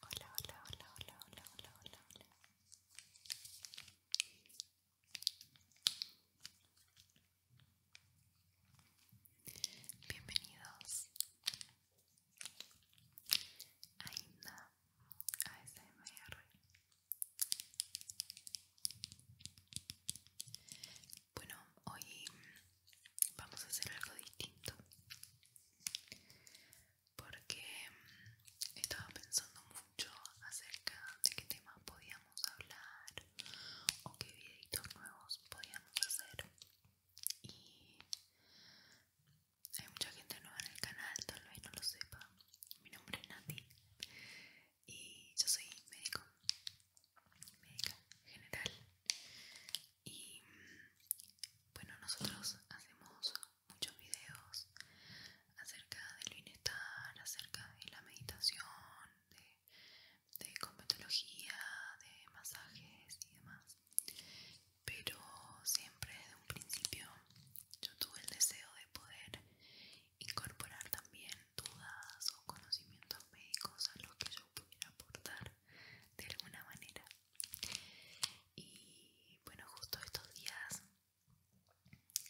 Hola, hola, hola, hola, hola, hola, hola, hola. Bienvenidos Ainda ASMR Bueno, hoy vamos a hacer algo distinto porque estaba pensando mucho acerca de qué temas podíamos hablar o qué videitos nuevos podíamos hacer y hay mucha gente nueva en el canal, tal vez no lo sepa. Mi nombre es Nati y yo soy médico, médica general. Y bueno, nosotros hacemos muchos videos acerca del bienestar, acerca de la meditación, de, de de masajes y demás pero siempre desde un principio yo tuve el deseo de poder incorporar también dudas o conocimientos médicos a lo que yo pudiera aportar de alguna manera y bueno justo estos días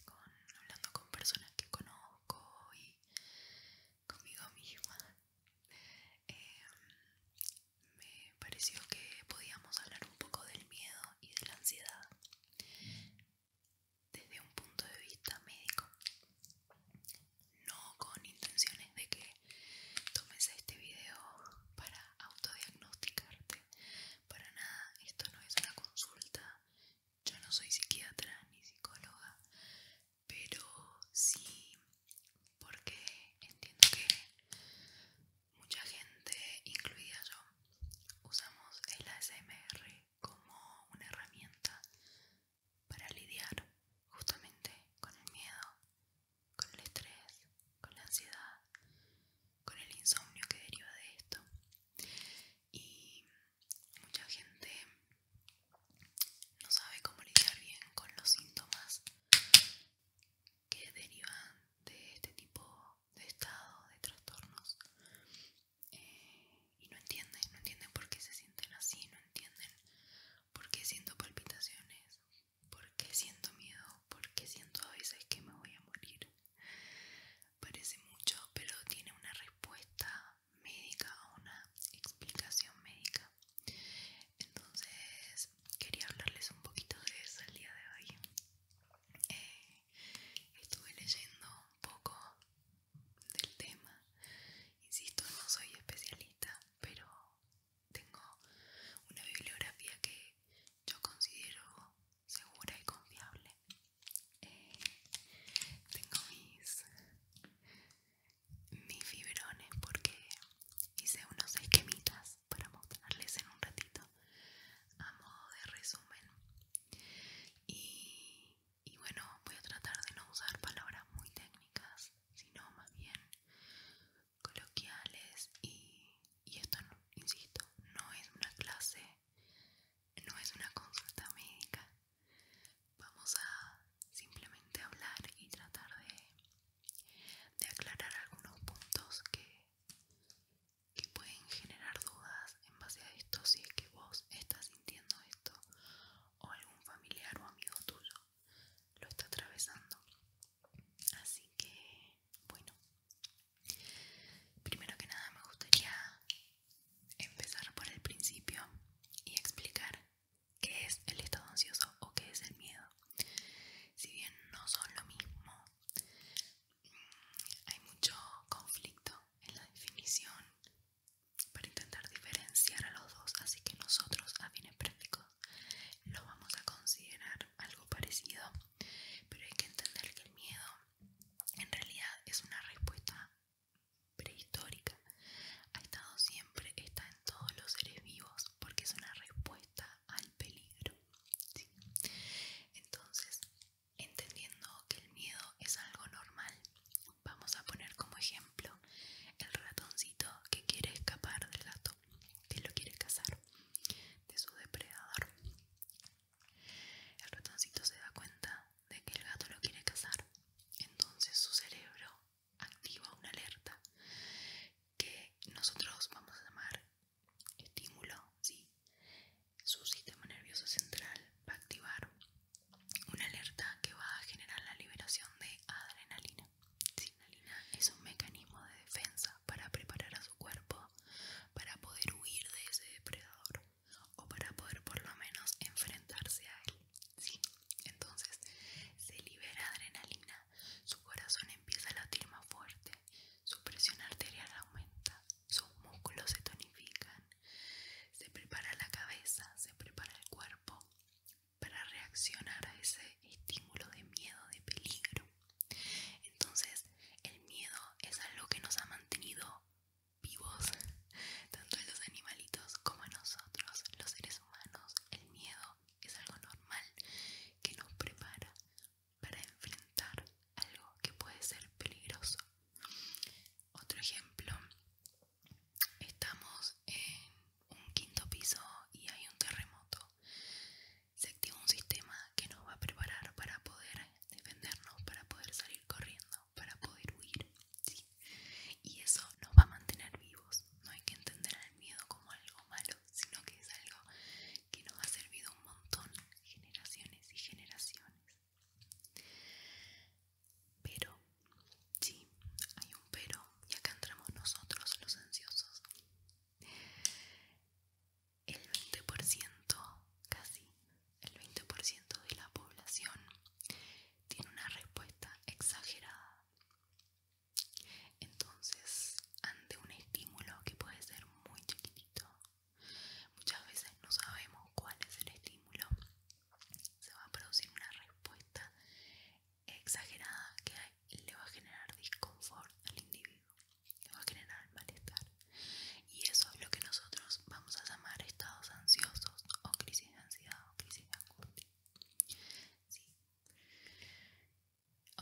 hablando con personas que conozco y conmigo misma em, me pareció que podíamos hablar un poco del miedo y de la ansiedad desde un punto de vista médico, no con intenciones de que tomes este video para autodiagnosticarte, para nada, esto no es una consulta, yo no soy psiquiatra ni psicóloga, pero sí porque entiendo que mucha gente, incluida yo, usamos el ASMR como una herramienta para lidiar justamente con el miedo, con el estrés, con la ansiedad, con el insomnio que deriva de esto. Y mucha gente no sabe cómo lidiar bien con los síntomas que derivan de este tipo de estado de trastornos eh, y no entienden, no entienden por qué se sienten así, no entienden por qué siento palpitaciones, por qué siento miedo, por qué siento a veces que me voy a morir. Parece mucho, pero tiene una respuesta médica o una explicación médica. Entonces quería hablarles un poquito de eso el día de hoy. Eh, estuve leyendo un poco del tema. Insisto, no soy especialista, pero tengo una bibliografía que yo considero segura y confiable. Eh, tengo mis, mis fibrones porque hice unos esquemitas para mostrarles en un ratito a modo de resumen y, bueno voy a tratar de no usar palabras muy técnicas sino más bien coloquiales y, esto insisto no es una clase no es una consulta médica vamos a simplemente hablar y tratar de de aclarar algunos puntos que, pueden generar dudas en base a esto si es que vos estás sintiendo esto o algún familiar o amigo tuyo lo está atravesando. Así que, bueno, primero que nada me gustaría empezar por el principio y explicar qué es el estado ansioso o qué es el miedo. Si bien no son lo mismo, mm, hay mucho conflicto en la definición para intentar diferenciar a los dos, así que nosotros a fines prácticos lo vamos a considerar algo parecido, pero hay que entender que el miedo en realidad es una respuesta prehistórica. Ha estado siempre, está en todos los seres vivos porque es una respuesta al peligro. Entonces, entendiendo que el miedo es algo normal, vamos a poner como ejemplo el ratoncito que quiere escapar del gato, que lo quiere cazar de su depredador. El ratoncito se da cuenta de que el gato lo quiere cazar, entonces su cerebro activa una alerta que nosotros vamos a llamar estímulo, ¿sí? su sistema nervioso central va a activar una alerta que va a generar la liberación de adrenalina. Adrenalina es un mecanismo de defensa para preparar a su cuerpo para poder huir de ese depredador o para poder por lo menos enfrentarse a él. ¿sí? Entonces se libera adrenalina su corazón empieza a latir más fuerte, su presión arterial aumenta, sus músculos se tonifican. Se prepara la cabeza, se prepara el cuerpo para reaccionar a ese estímulo de miedo, de peligro. Entonces, el miedo es algo que nos ha mantenido vivos, tanto a los animalitos como a nosotros, los seres humanos. El miedo es algo normal que nos prepara para enfrentar algo que puede ser peligroso. Otro ejemplo, estamos en un quinto piso y hay un terremoto. Se activa un sistema que nos va a preparar para poder defendernos, para poder salir corriendo, para poder huir. Y eso nos va a mantener vivos. No hay que entender el miedo como algo malo, sino que es algo que nos ha servido un montón, generaciones y generaciones. Pero, sí, hay un pero, y acá entramos nosotros los ansiosos. El 20%, casi, el 20% de la población tiene una respuesta exagerada entonces, ante un estímulo que puede ser muy chiquitito, muchas veces no sabemos cuál es el estímulo, se va a producir una respuesta exagerada que le va a generar disconfort al individuo, le va a generar malestar. Y eso es lo que nosotros vamos a llamar estados ansiosos o crisis de ansiedad o crisis de angustia.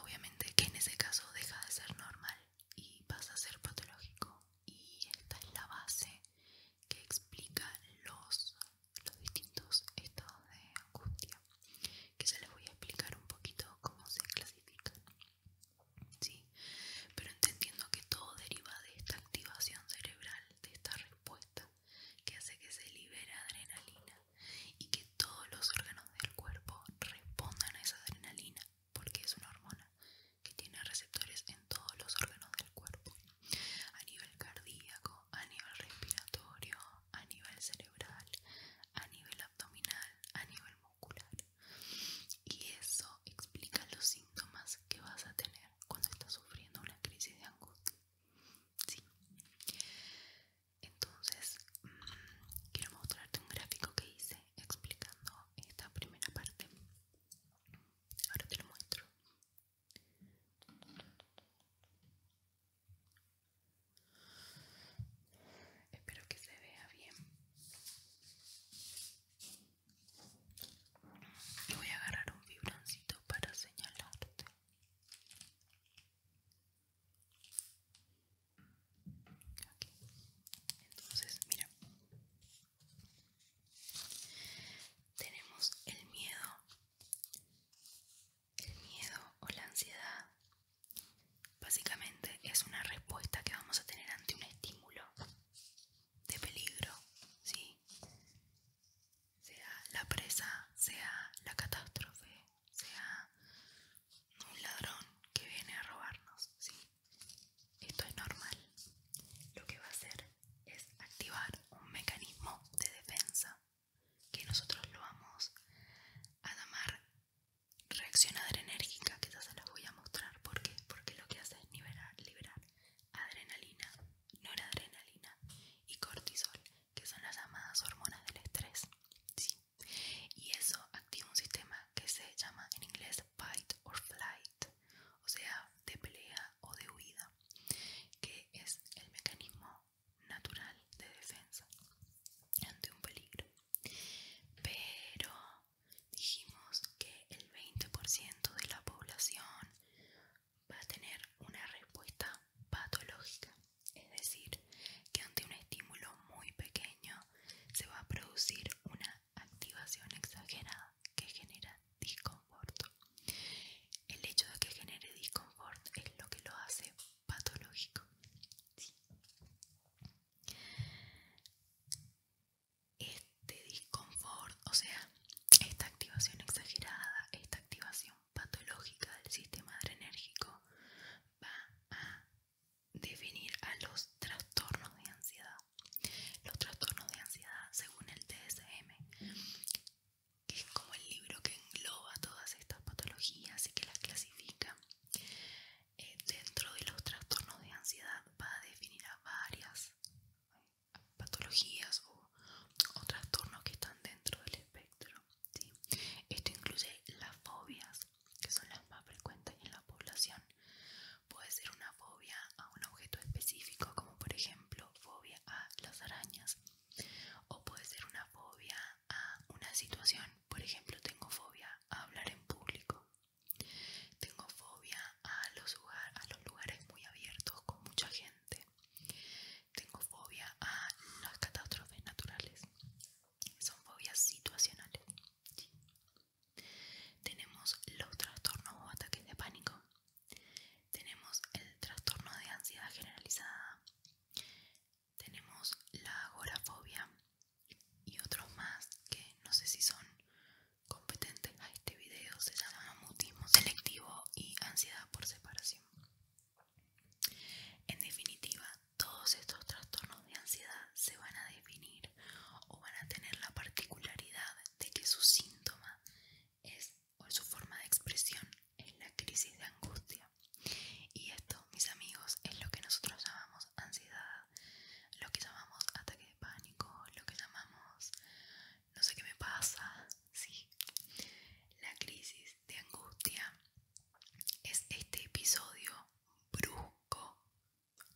Obviamente que en ese caso deja de ser normal y pasa a ser patológico. Y esta es la base que explica los, los distintos estados de angustia, que ya les voy a explicar un poquito cómo se clasifica Pero entendiendo que todo deriva de esta activación cerebral, de esta respuesta que hace que se libera adrenalina y que todos los órganos del cuerpo respondan a esa adrenalina porque es una hormona que tiene receptores en todos los órganos del cuerpo a nivel cardíaco, a nivel respiratorio, a nivel cerebral, a nivel abdominal, a nivel muscular y eso explica los síntomas que vas a tener cuando estás sufriendo una crisis de angustia. Sí. Entonces, mm, quiero mostrarte un gráfico que hice explicando esta primera parte. Ahora te lo muestro. Espero que se vea bien. voy a agarrar un vibrancito para señalarte. Entonces, mira, tenemos el miedo, el miedo o la ansiedad. Básicamente es una respuesta que vamos a tener ante un estímulo de peligro, ¿sí? sea la presa, sea la catástrofe, sea un ladrón que viene a robarnos, ¿sí? Esto es normal. Lo que va a hacer es activar un mecanismo de defensa que nosotros lo vamos a llamar reacción adrenérgica, que ya se la voy a mostrar. ¿Por Porque lo que hace es liberar, liberar adrenalina, noradrenalina y cortisol, que son las llamadas hormonas del estrés. ¿sí? y eso activa un sistema que se llama en inglés fight or flight, o sea, de pelea o de huida, que es el mecanismo natural de defensa ante un peligro. Pero dijimos que el 20% de la población va a tener una respuesta patológica, es decir, que ante un estímulo muy pequeño se va a producir una activación exagerada que genera disconforto. El hecho de que genere disconfort es lo que lo hace patológico. Este disconfort, o sea, esta activación exagerada, esta activación patológica del sistema adrenérgico va a definir a los trastornos de ansiedad. Los trastornos de ansiedad, según el TSM que es como el libro que engloba todas estas patologías y que las clasifica, eh, dentro de los trastornos de ansiedad va a definir a varias patologías o, trastornos que están dentro del espectro. Esto incluye las fobias, que son las más frecuentes en la población. Puede ser una fobia a un objeto específico, como por ejemplo fobia a las arañas, o puede ser una fobia a una situación, por ejemplo tengo fobia a hablar en público, tengo fobia a los, lugares muy abiertos con mucha gente, tengo fobia a las catástrofes naturales son fobias situacionales. Tenemos los trastornos o ataques de pánico. Tenemos el trastorno de ansiedad generalizada. Tenemos la agorafobia y otros más que no sé si son competentes a este video. Se llama mutismo selectivo y ansiedad por separación. En definitiva, todos estos trastornos de ansiedad se van a definir o van a tener la particularidad de que su síntoma es o su forma de expresión es la crisis de angustia. Y esto, mis amigos, es lo que nosotros llamamos ansiedad, lo que llamamos ataque de pánico, lo que llamamos no sé qué me pasa, sí. La crisis de angustia es este episodio brusco,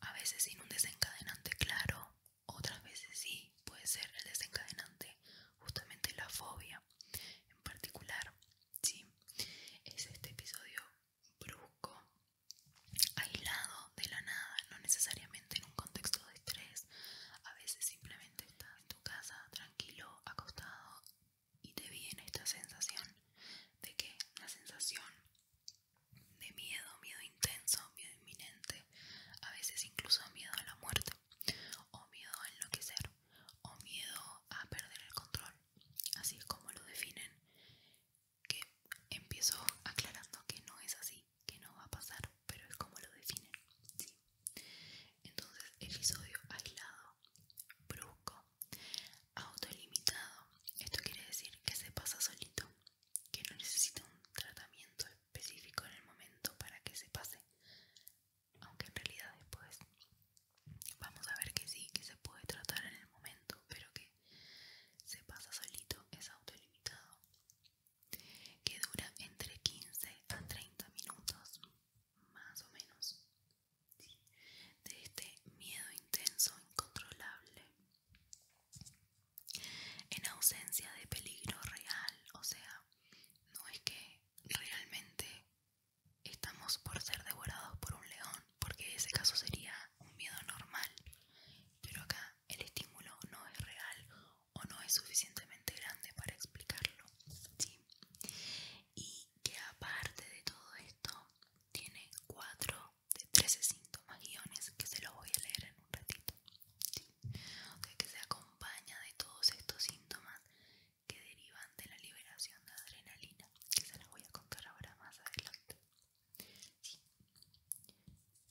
a veces sin un desencadenante claro, otras veces sí, puede ser el desencadenante justamente la fobia en particular, sí, es este episodio brusco, aislado de la nada, no necesariamente en un contexto de estrés, a veces simplemente estás en tu casa tranquilo, acostado y te viene esta sensación de que la sensación de miedo, miedo intenso, miedo inminente, a veces incluso miedo a la muerte, o miedo a enloquecer, o miedo a perder el control. Así es como lo definen, que empiezo aclarando que no es así, que no va a pasar, pero es como lo definen. ¿sí? Entonces, episodio aislado, brusco, Autolimitado. Esto quiere decir que se pasa solito, que no necesita un tratamiento específico en el momento para que se pase. Aunque en realidad después vamos a ver que sí, que se puede tratar en el momento, pero que se pasa solito, es autolimitado. Que dura entre 15 a 30 minutos, más o menos de este miedo intenso, incontrolable, en ausencia de peligro real, o sea, no es que realmente estamos por ser devorados por un león, porque ese caso sería un miedo normal, pero acá el estímulo no es real o no es suficientemente grande para explicarlo, Y que aparte de todo esto tiene 4 de 13 síntomas guiones que se los voy a leer en un ratito que se acompaña de todos estos síntomas que derivan de la liberación de adrenalina que se los voy a contar ahora más adelante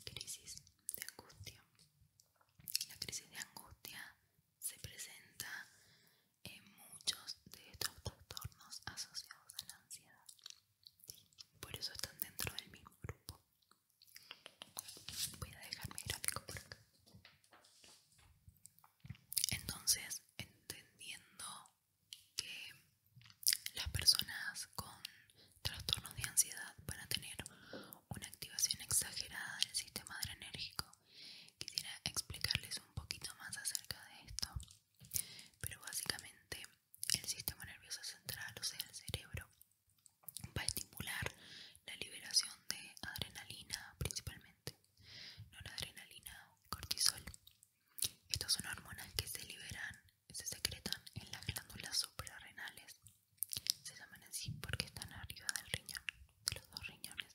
crisis de angustia la crisis de angustia se presenta en muchos de estos trastornos asociados a la ansiedad. Por eso están dentro del mismo grupo. Voy a dejar mi gráfico por acá. Entonces, entendiendo que las personas con trastornos de ansiedad van a tener una activación exagerada del sistema adrenérgico Quisiera explicarles un poquito más acerca de esto, pero básicamente el sistema nervioso central, o sea, el cerebro, va a estimular la liberación de adrenalina principalmente, no la adrenalina, cortisol. Estas son hormonas que se liberan, se secretan en las glándulas suprarrenales. Se llaman así porque están arriba del riñón, de los dos riñones.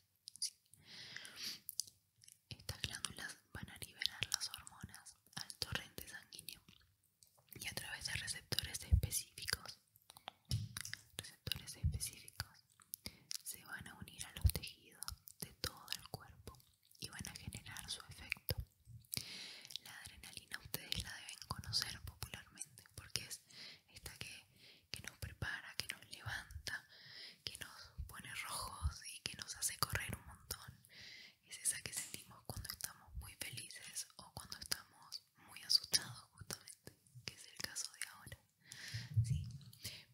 Estas glándulas van a liberar las hormonas al torrente sanguíneo y a través de receptores específicos, receptores específicos, se van a unir a los tejidos de todo el cuerpo y van a generar su efecto. La adrenalina ustedes la deben conocer popularmente porque es esta que que nos prepara, que nos levanta, que nos pone rojos y que nos hace correr un montón. Es esa que sentimos cuando estamos muy felices o cuando estamos muy asustados justamente, que es el caso de ahora.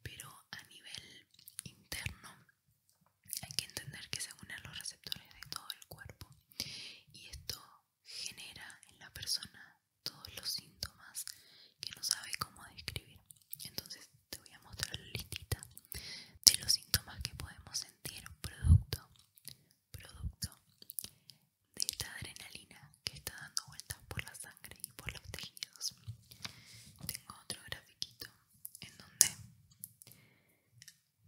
pero a nivel interno hay que entender que se unen los receptores de todo el cuerpo y esto genera en la persona todos los síntomas que no sabe cómo describir. Entonces te voy a mostrar la listita de los síntomas que podemos sentir producto, producto de esta adrenalina que está dando vueltas por la sangre y por los tejidos. Tengo otro grafiquito en donde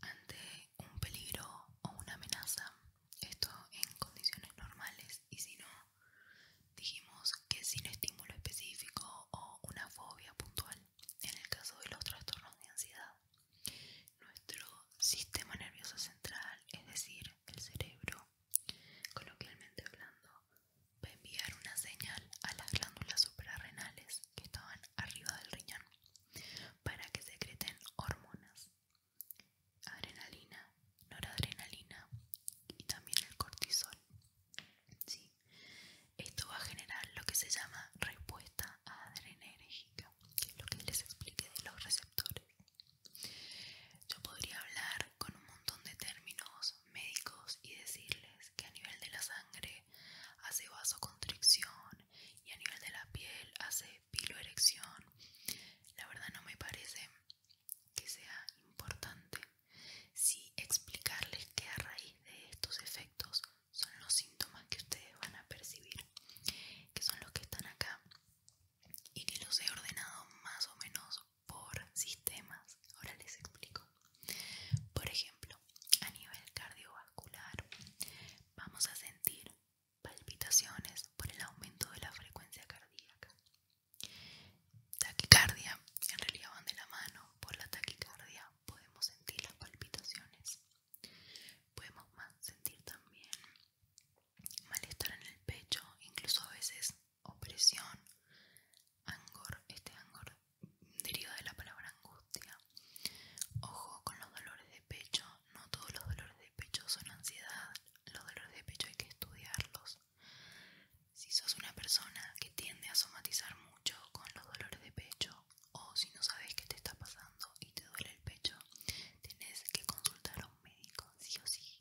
ante un peligro o una amenaza, esto en condiciones normales y si no Dijimos que sin estímulo específico o una fobia puntual, en el caso de los trastornos de ansiedad, nuestro sistema nervioso central, es decir, el cerebro, coloquialmente hablando, va a enviar una señal a las glándulas suprarrenales que estaban arriba del riñón para que secreten hormonas, adrenalina, noradrenalina y también el cortisol. ¿sí? Esto va a generar lo que se llama respuesta adrenérgica, que es lo que les expliqué de los receptores. Yo podría hablar con un montón de términos médicos y decirles que a nivel de la sangre hace vasoconstricción y a nivel de la piel hace piloerección. La verdad no me parece que sea importante si explicarles que a raíz de estos efectos son los síntomas que ustedes van a percibir, que son los que están acá y que los he ordenado más o menos por sistemas. Ahora les explico. Por ejemplo, a nivel cardiovascular vamos a sentir palpitaciones por el aumento de la frecuencia cardíaca. Taquicardia, en realidad van de la mano, por la taquicardia podemos sentir las palpitaciones, podemos sentir también malestar en el pecho, incluso a veces opresión, angor, este angor deriva de la palabra angustia. Ojo con los dolores de pecho, no todos los dolores de pecho son ansiedad, los dolores de pecho hay que estudiarlos, si sos una persona que tiende a somatizar mucho con los dolores de pecho o si no sabes qué te está pasando y te duele el pecho, tenés que consultar a un médico, sí o sí.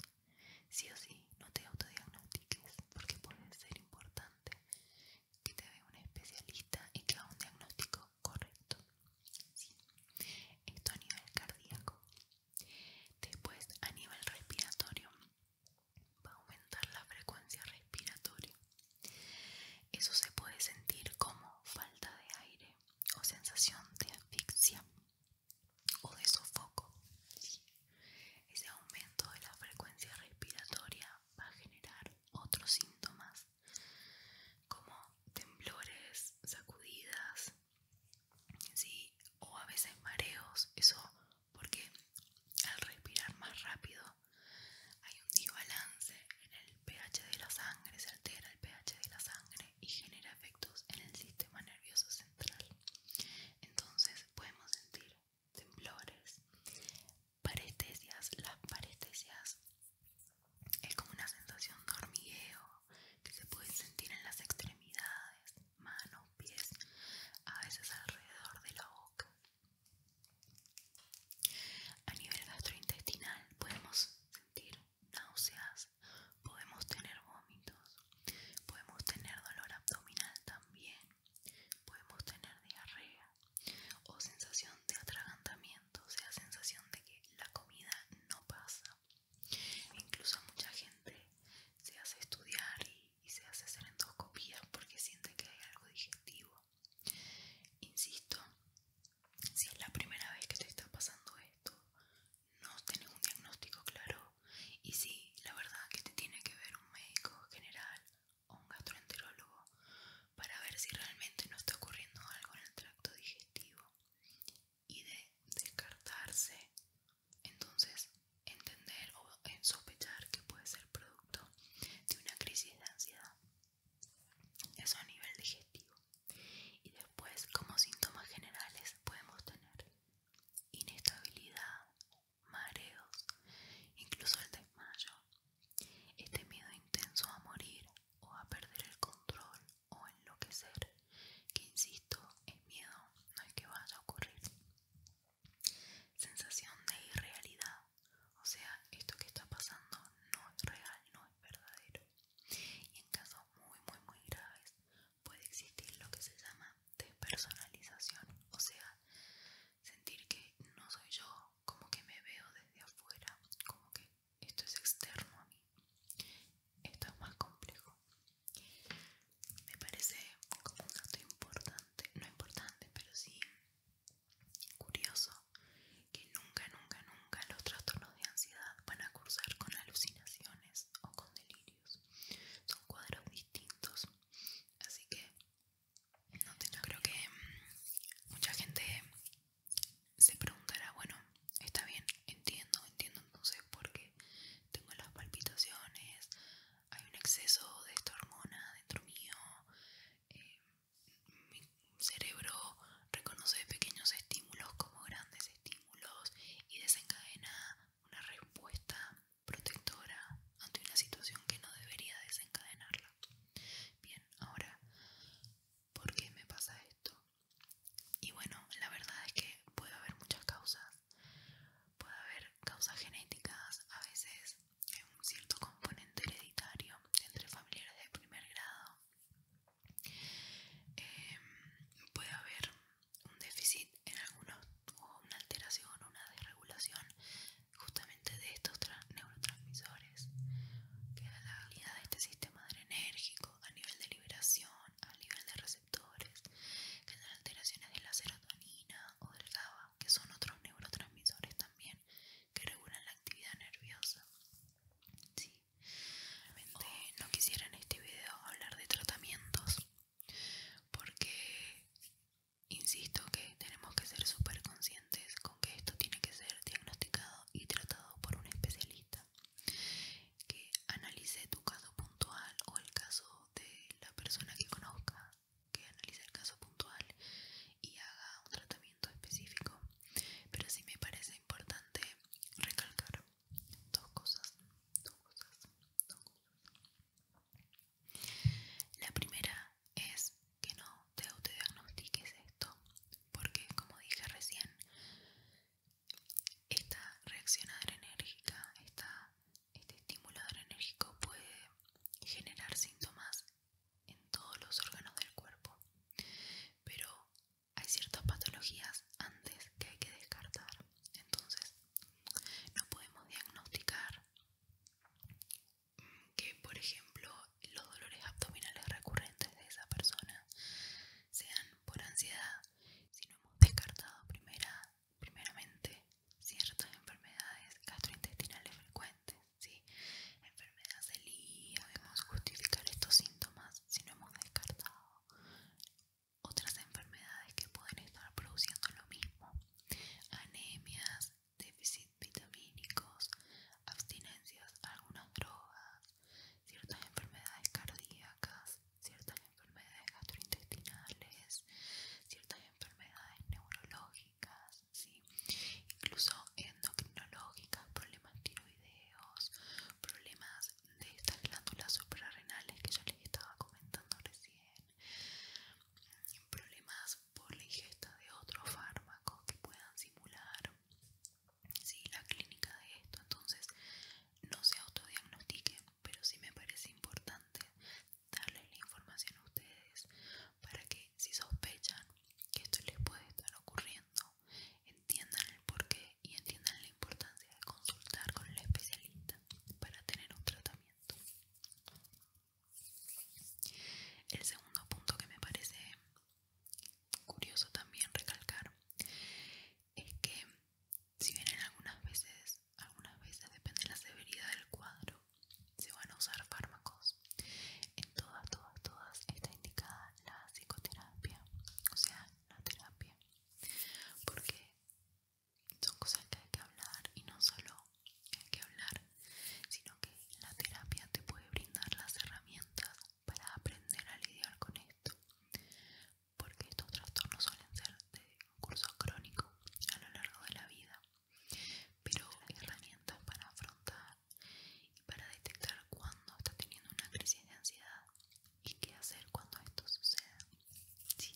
Sí o sí, no te autodiagnostiques porque puede ser importante que te vea un especialista y que haga un diagnóstico correcto. Esto a nivel cardíaco. Después a nivel respiratorio va a aumentar la frecuencia respiratoria. Eso se puede sentir como falta de aire o sensación de asfixia o de sofoco. Ese aumento de la frecuencia respiratoria va a generar otros síntomas como temblores, sacudidas, o a veces mareos. Eso porque al respirar más rápido hay un desbalance en el pH de la sangre, se altera el pH de la sangre y genera efectos en el sistema nervioso central. Entonces podemos sentir temblores, parestesias, las parestesias es como una sensación de hormigueo que se puede sentir en las extremidades, manos, pies, a veces alrededor de la boca. A nivel gastrointestinal podemos sentir náuseas, podemos tener vómitos, podemos tener dolor abdominal también, podemos tener diarrea o sensación de atragantamiento, o sea, sensación de que la comida no pasa. Incluso mucha gente se hace estudiar y y se hace hacer endoscopia porque siente que hay algo digestivo. Insisto, si es la primera vez que te está pasando esto, no tienes un diagnóstico claro y si la verdad que te tiene que ver un médico general o un gastroenterólogo para ver si realmente no está ocurriendo algo en el tracto digestivo y de descartarse entonces, entender o sospechar que puede ser producto de una crisis de ansiedad. Eso a nivel digestivo. Y después, como síntomas generales, podemos tener inestabilidad, mareos, incluso el desmayo, este miedo intenso a morir o a perder el control o enloquecer, que insisto, es miedo, no es que vaya a ocurrir sensación de irrealidad. O sea, esto que está pasando no es real, no es verdadero. Y en casos muy, muy, muy graves puede existir lo que se llama despersonalización. O sea, sentir que no soy yo, como que me veo desde afuera, como que esto es externo a mí. Esto es más complejo me parece como un dato importante, no importante, pero sí curioso que nunca, nunca, nunca los trastornos de ansiedad van a cursar con alucinaciones o con delirios. Son cuadros distintos, así que no te creo que mm, mucha gente se preguntará, bueno, está bien, entiendo, entiendo entonces por qué tengo las palpitaciones, hay un exceso de esta hormona dentro mío. Eh, mi cerebro reconoce pequeños estímulos como grandes estímulos y desencadena una respuesta protectora ante una situación que no debería desencadenarla. Bien, ahora, ¿por qué me pasa esto? Y bueno, la verdad es que puede haber muchas causas. Puede haber causas genéticas, a veces un cierto componente hereditario entre familiares de primer grado. Em, puede haber un déficit en algunos o una alteración o una desregulación justamente de estos neurotransmisores que la habilidad de este sistema adrenérgico a nivel de liberación, a nivel de que son alteraciones de la serotonina o del GABA, que son otros neurotransmisores también que regulan la actividad nerviosa. no quisiera en este video hablar de tratamientos, porque insisto que tenemos que ser súper conscientes con que esto tiene que ser diagnosticado y tratado por un especialista que analice tu caso puntual o el caso de la persona que conozca que analice el caso puntual y haga un tratamiento específico, pero sí me parece importante recalcar dos cosas, dos cosas, La primera es que no te autodiagnostiques esto, porque como dije recién, esta reacción adrenérgica, está este estimulador enérgico puede generar síntomas en todos los órganos del cuerpo, pero hay ciertas patologías antes que hay que descartar. Entonces, no podemos diagnosticar que, por ejemplo, los dolores abdominales recurrentes de esa persona sean por ansiedad si no hemos descartado primero primeramente ciertas enfermedades gastrointestinales frecuentes, ¿sí? enfermedad celíaca, debemos justificar estos síntomas si no hemos descartado otras enfermedades que pueden estar produciendo lo mismo, anemias, déficit vitamínicos, abstinencias a algunas drogas, ciertas enfermedades cardíacas, ciertas enfermedades gastrointestinales, ciertas enfermedades neurológicas, incluso endocrinológicas, problemas tiroideos, problemas de estas glándulas suprarrenales que ya les estaba comentando recién, problemas por la ingesta de otro fármacos que puedan simular ¿sí? la clínica de esto. Entonces, no se autodiagnostiquen, pero sí me parece importante darles la información a ustedes para que si sospechan que esto les puede estar ocurriendo, entiendan el porqué y entiendan la importancia de consultar con el especialista para tener un tratamiento. El segundo punto que me parece curioso también recalcar es que si vienen algunas veces algunas veces depende de la severidad del cuadro, se van a usar fármacos. En todas, todas, todas está indicada la psicoterapia, o sea, la terapia, porque son cosas que hay que hablar y no solo hay que hablar, sino que la terapia te puede brindar las herramientas para aprender a lidiar con esto, porque estos trastornos suelen ser de curso crónico a lo largo de la vida, pero herramientas para afrontar y para detectar cuando está teniendo una crisis de ansiedad y qué hacer cuando esto suceda. Sí.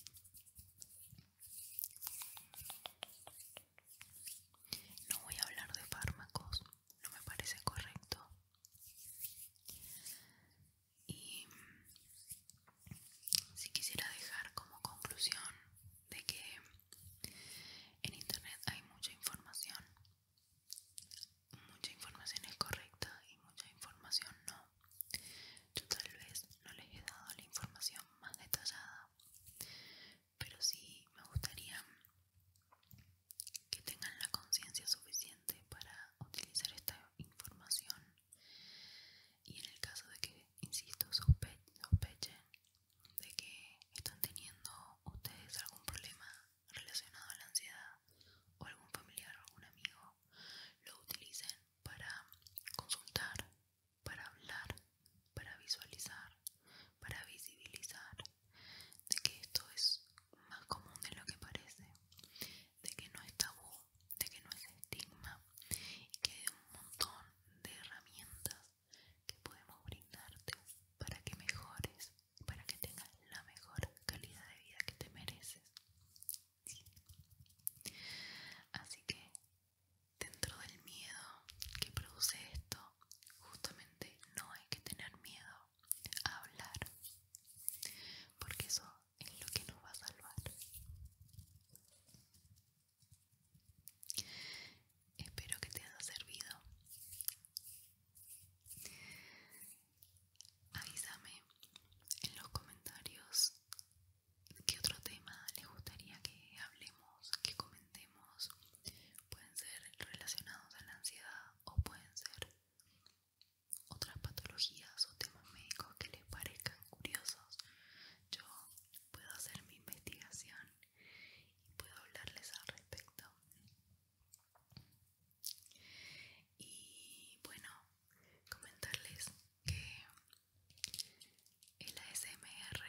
No voy a hablar de fármacos, no me parece correcto. Y si quisiera dejar como conclusión de que en internet hay mucha información, mucha información es correcta y mucha información no. Yo tal vez no les he dado la información más detallada, pero si me gustaría que tengan la conciencia suficiente para utilizar esta información y en el caso de que insisto, sospechen de que están teniendo ustedes algún problema relacionado a la ansiedad o algún familiar o algún amigo, lo utilicen para consultar, para hablar, para visualizar, para visibilizar de que esto es más común de lo que parece, de que no está tabú, de que no es estigma y que hay un montón de herramientas que podemos brindarte para que mejores, para que tengas la mejor calidad de vida que te mereces. Así que dentro del miedo que produce esto, justamente no hay que tener miedo a hablar, porque eso es lo que nos va a salvar. Espero que te haya servido. Avísame en los comentarios qué otro tema les gustaría que hablemos, que comentemos. Pueden ser relacionados a la ansiedad o pueden ser otras patologías o temas médicos que les parezcan curiosos yo puedo hacer mi investigación y puedo hablarles al respecto. Y bueno, comentarles que el ASMR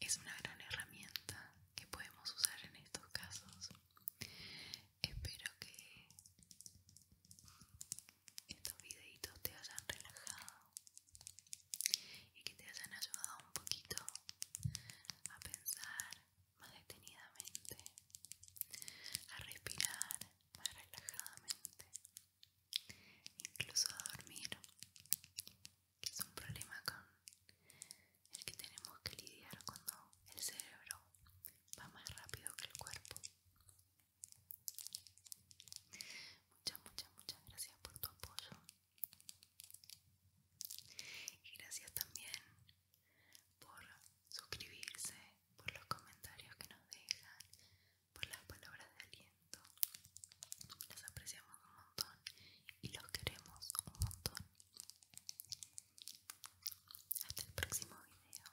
es una gran herramienta que podemos usar en estos casos. Espero que estos videitos te hayan relajado y que te hayan ayudado un poquito a pensar más detenidamente, a respirar más relajadamente, incluso a dormir, que es un problema con el que tenemos que lidiar cuando el cerebro va más rápido que el cuerpo. Muchas, muchas, muchas gracias por tu apoyo. Y gracias también por suscribirse, por los comentarios que nos dejan, por las palabras de aliento. Las apreciamos un montón y los queremos un montón. Hasta el próximo video.